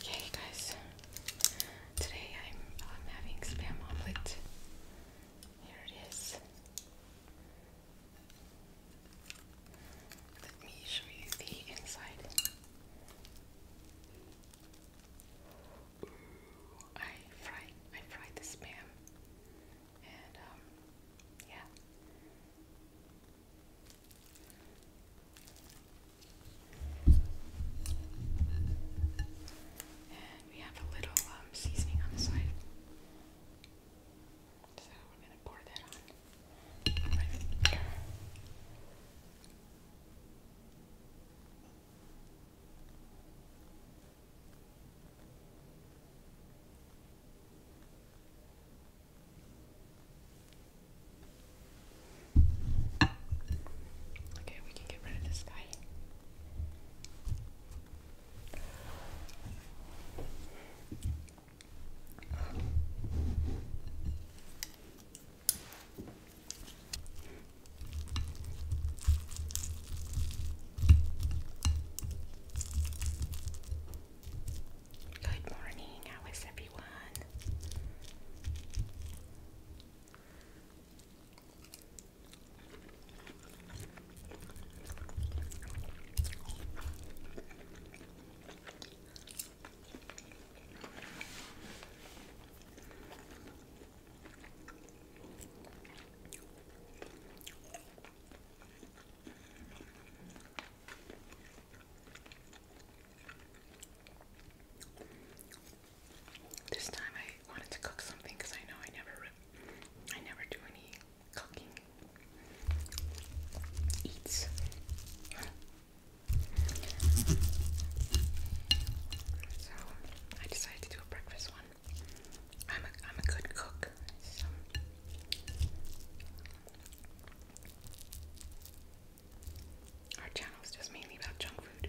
Okay, guys. Today I'm um, having spam omelet. Here it is. Let me show you the inside. I fried, I fried the spam, and um, yeah, and we have a little um, seasoning on the side. So we're going to pour that on. Okay, we can get rid of this guy. Good morning, how is everyone? This time I wanted to cook something because I know I never, I never do any cooking eats. So I decided to do a breakfast one. I'm a I'm a good cook. Our channel is just mainly about junk food.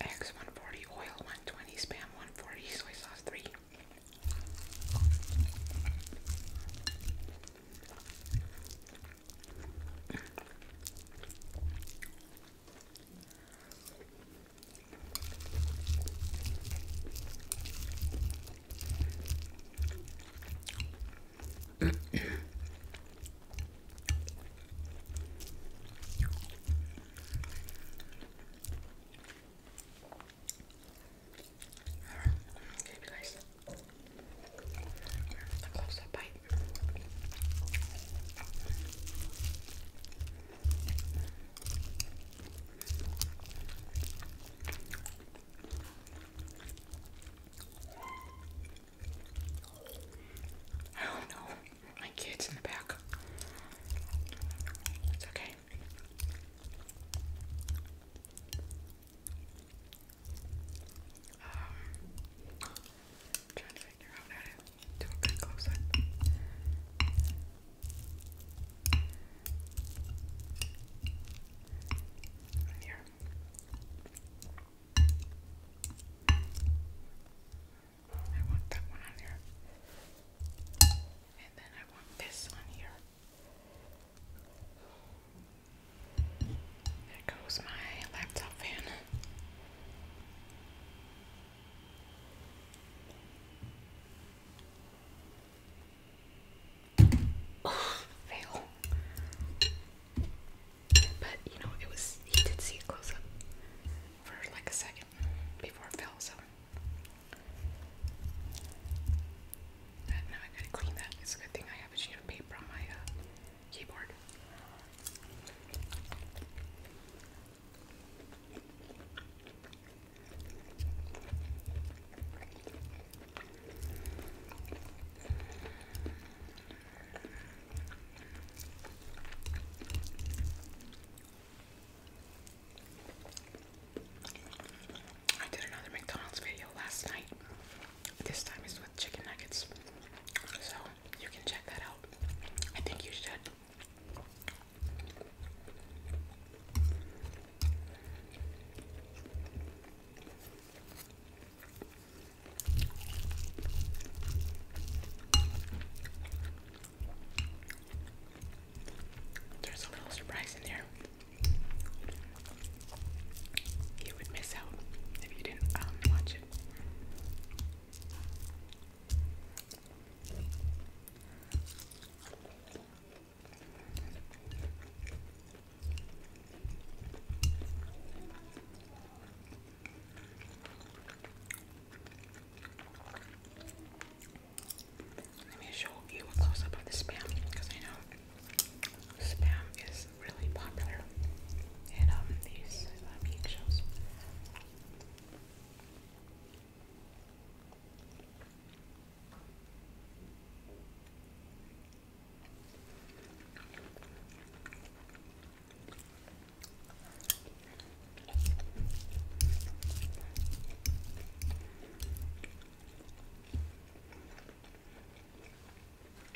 Eggs 140, oil 120, spam 140, soy sauce 3 okay, guys. A close-up bite. I don't know. My kid's in the back. It's okay. Um, to a good close up. here. I want that one on here. And then I want this on here. There goes my laptop fan. Oh, fail. But you know, it was he did see it close up for like a second before it fell, so now I gotta clean that. It's a good thing I have a sheet of paper on my uh, keyboard. I did another McDonald's video last night. This time it's with chicken nuggets. So you can check that out. I think you should. There's a little surprise in there. You would miss out if you didn't um, watch it. Let me show you a close up of the spam because I know spam is really popular in um, these uh, shows.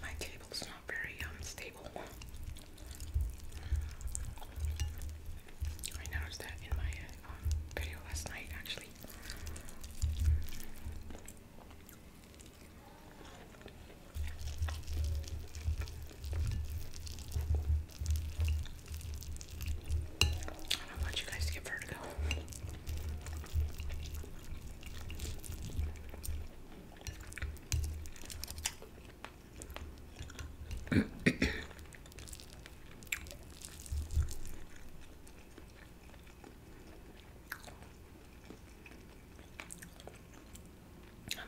My table's not very um table. I noticed that in my uh, um, video last night, actually. I don't want you guys to get vertigo. I'm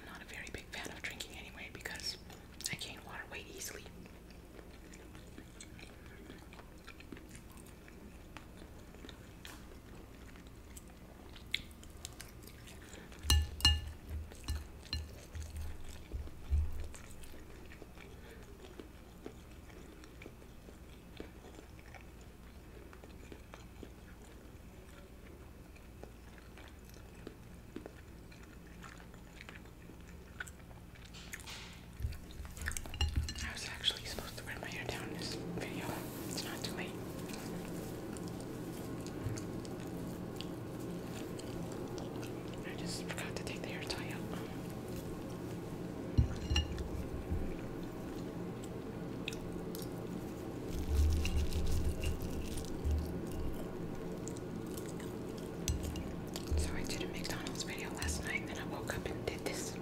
not a very big fan of drinking anyway because I gain water weight easily. That was actually supposed to wear my hair down in this video. It's not too late. I just forgot to take the hair tie out. So I did a McDonald's video last night, and I woke up and did this.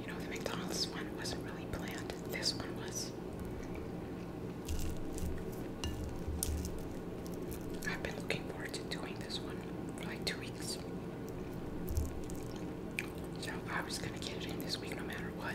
You know, the McDonald's one wasn't really planned, this one was. I've been looking forward to doing this one for like two weeks. So I was gonna get it in this week no matter what.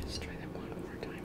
Let's try that one more time.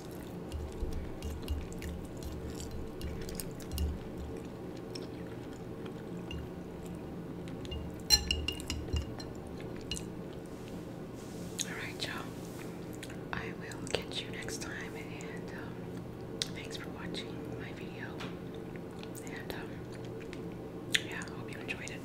Alright, y'all. I will catch you next time, and um, thanks for watching my video. And um, yeah, I hope you enjoyed it.